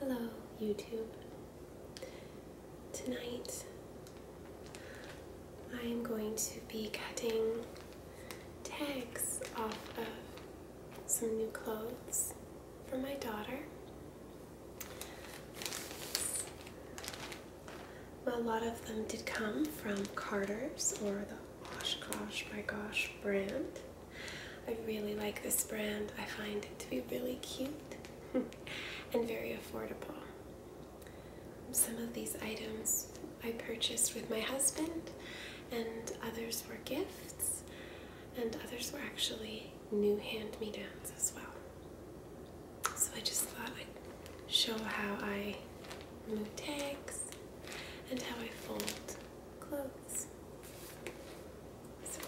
Hello, YouTube. Tonight I am going to be cutting tags off of some new clothes for my daughter. a lot of them did come from Carter's or the Oshkosh My Gosh brand. I really like this brand. I find it to be really cute and very affordable. Some of these items I purchased with my husband, and others were gifts, and others were actually new hand-me-downs as well. So I just thought I'd show how I move tags and how I fold clothes first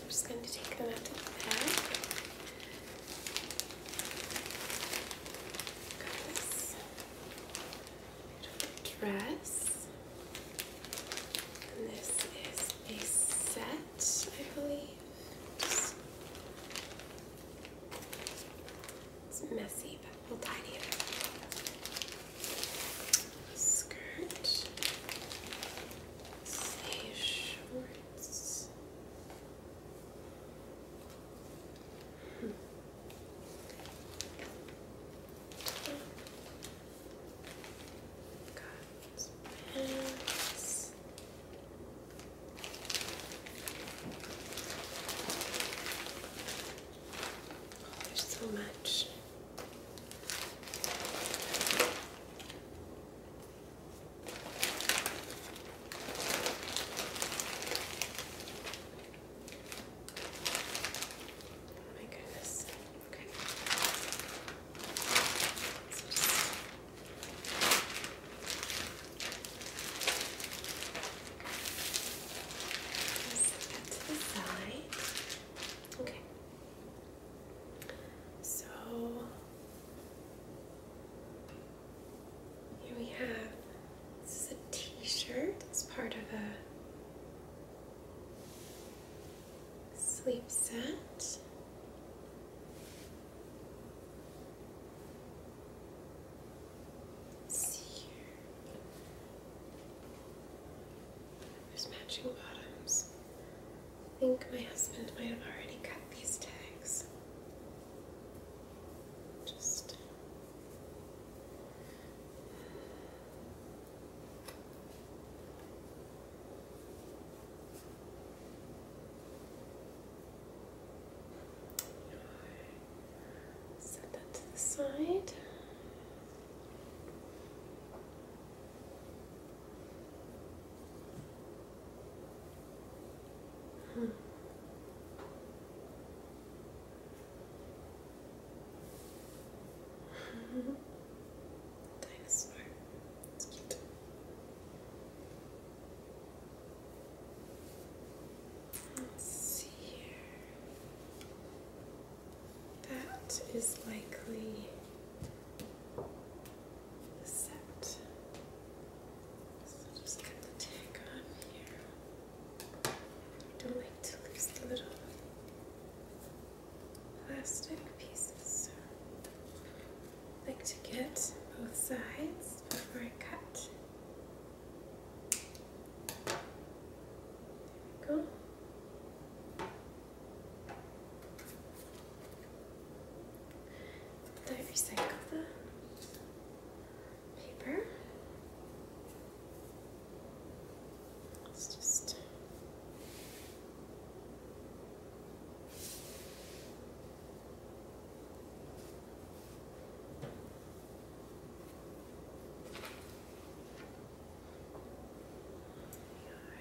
I'm just going to take them out to the back. Got this beautiful dress. And this is a set, I believe. it's messy, little tiny Skirt. shorts. Hmm. pants there's so much. Oh my goodness. Okay. Set that to the Okay. So here we have this is a t-shirt. It's part of a sleep set see here. There's matching bottoms. I think my husband might have already cut these tags. Just. Set that to the side. Hmm. Dinosaur. It's cute. Let's see here. That is likely set. So just cut the tag on here. don't like to lose the little plastic pieces. like to get both sides before I cut. There we go. I the paper. It's just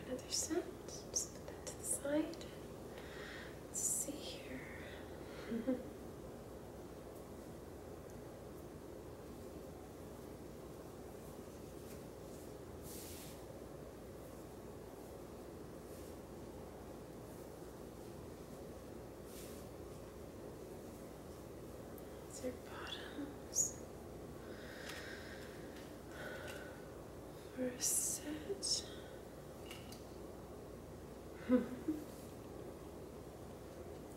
Another set. Just put that to the side. Let's see here. It's your bottoms for a set.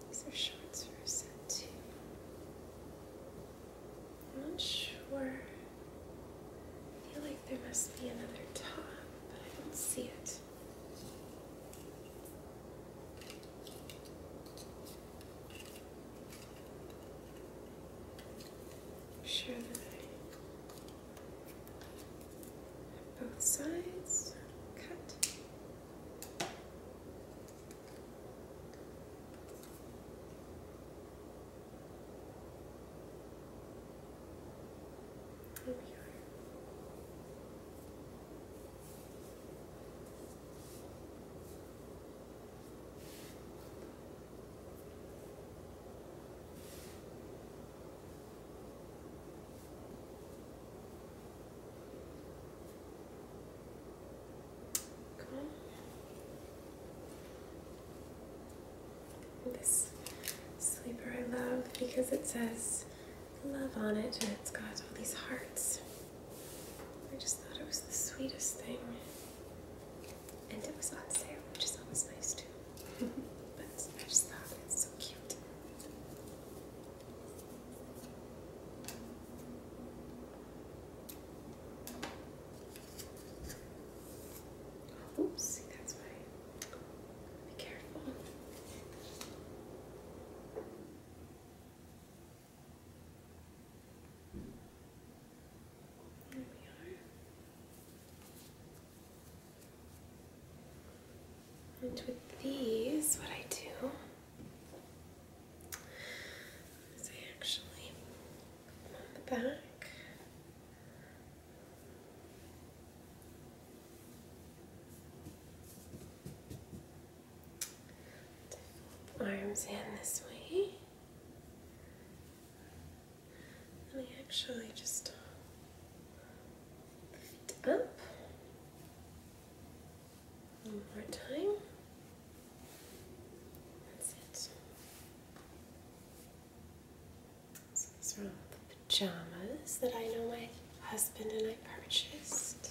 These are shorts for a set too. I'm not sure I feel like there must be another top, but I don't see it. sure that I have both sides cut. Here we are. Come on. This sleeper I love because it says love on it and it's got all these hearts. I just thought it was the sweetest thing. And it was on sale, which is always nice too. but I just thought it's so cute. Oops, that's why. Be careful. There we are. And with these, what I do is actually back. Arms in this way. Let me actually just lift up one more time. That's it. So these are all the pajamas that I know my husband and I purchased.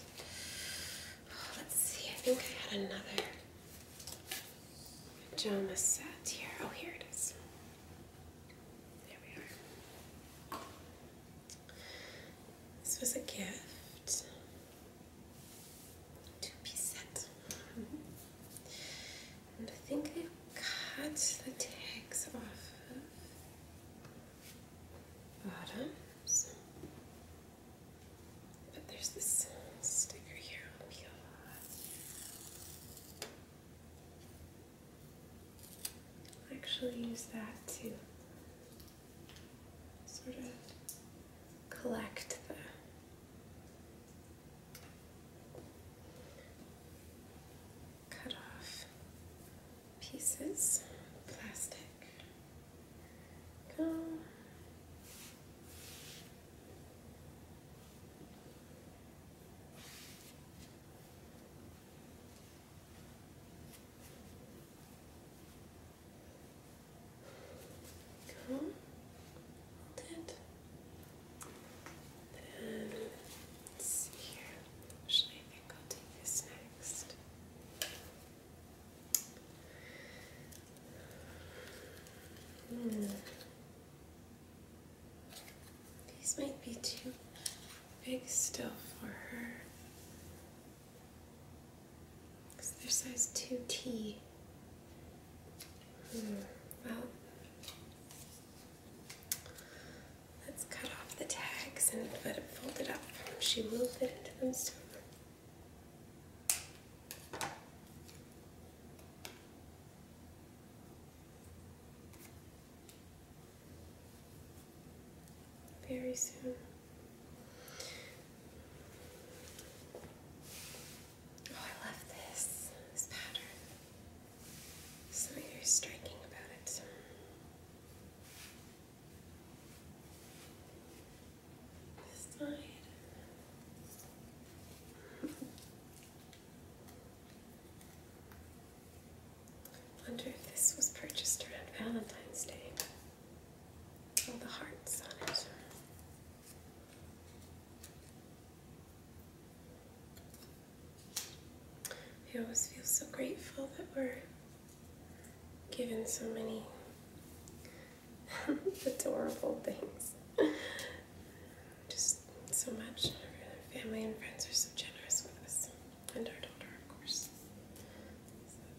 let's see, I think I had another pajama set here. Oh, here it is. There we are. This was a gift two piece And I think I cut the tags off of bottoms. But there's this sticker here oh, I'll actually use that to sort of collect the cut off pieces, plastic. Go. Come, Then here. Actually, I think I'll take this next. Hmm. These might be too big still for her. Because they're size 2T. Hmm, well, let's cut off the tags and fold it up. She will fit into them soon. Very soon. Oh, I love this, this pattern. Something very striking about it. This side. I wonder if this was purchased around Valentine's Day all the hearts on it. I always feel so grateful that we're given so many adorable things. Just so much. family and friends are so generous with us, and our daughter, of course.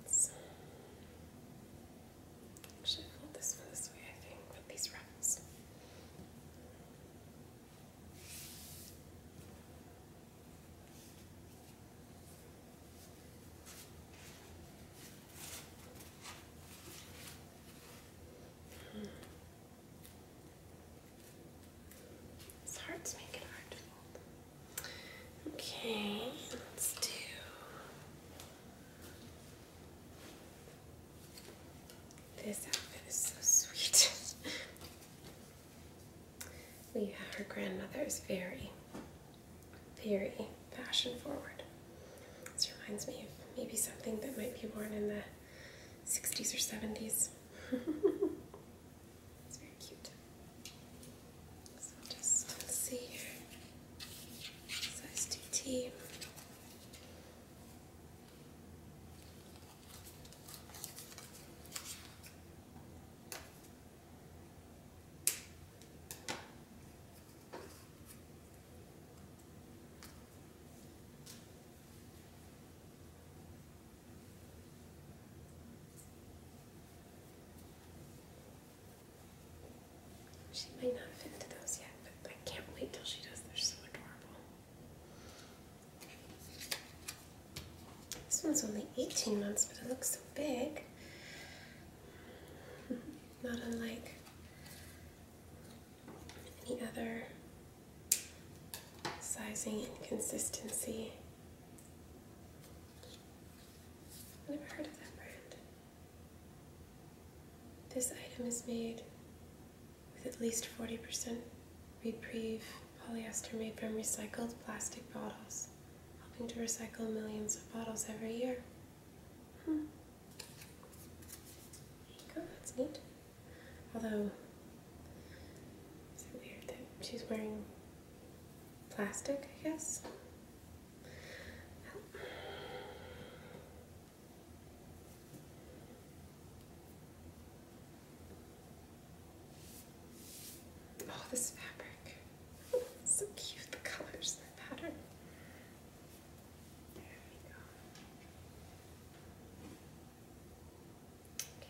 That's, I should this one this way, I think, with these wraps. Hmm. It's hard it hard to fold. Okay, let's do this outfit is so sweet. Leah, yeah, her grandmother is very, very fashion forward. This reminds me of maybe something that might be worn in the 60s or 70s. It's very cute. So just let's see Size 2 she might not have been those yet, but I can't wait till she does. They're so adorable. This one's only 18 months, but it looks so big. Not unlike any other sizing inconsistency never heard of that brand. This item is made with at least 40% reprieve polyester made from recycled plastic bottles, helping to recycle millions of bottles every year. Hmm. There that's neat. Although is it weird that she's wearing plastic, I guess? Oh. oh this fabric. so cute, the colors, the pattern. There we go. Okay.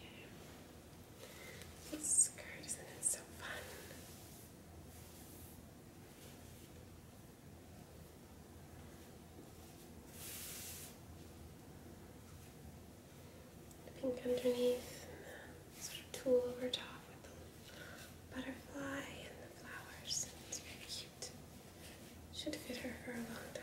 This skirt, isn't so fun? The pink underneath and the sort of tulle over top with the butterfly and the flowers. It's very cute. Should fit her for a long time.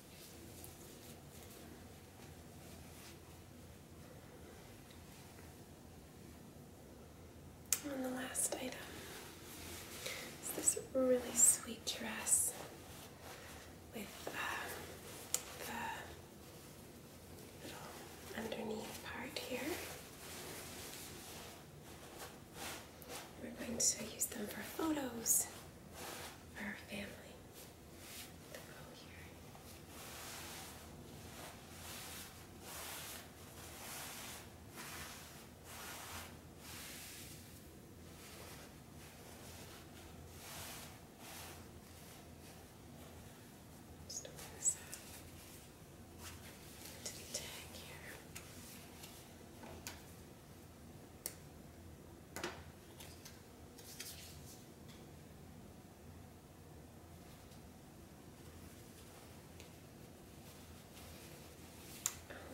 And the last item is this really sweet dress with um, the little underneath part here. We're going to use them for photos for our family the row here. Just open this up to the tag here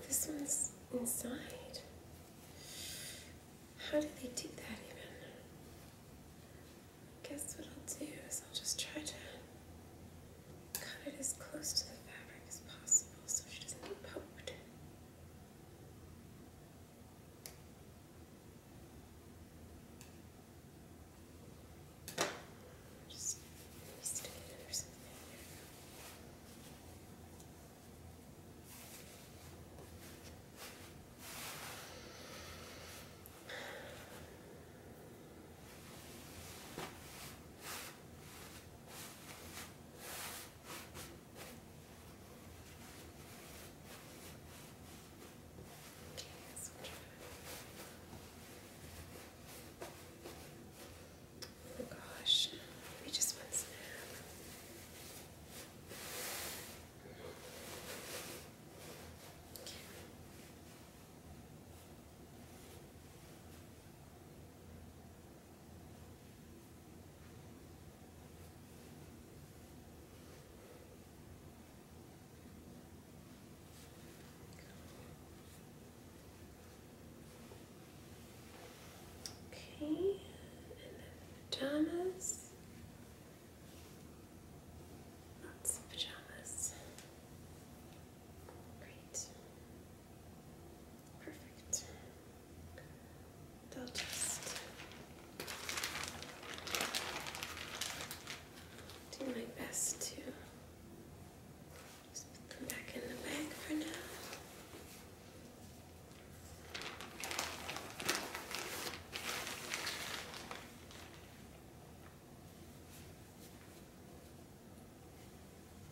this one's inside. How do they do that even? I guess what I'll do is I'll just try to cut it as close to the fabric as possible so she doesn't get poked. Just stick it under something. There Oh gosh, we just want snap. Okay, and pajamas. Lots of pajamas. Great. Perfect. They'll just do my best to just put them back in the bag for now.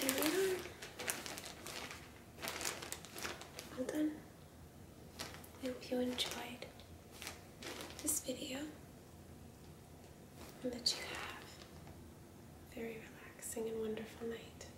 There we are. Well done. I hope you enjoyed this video and that you have a very relaxing and wonderful night.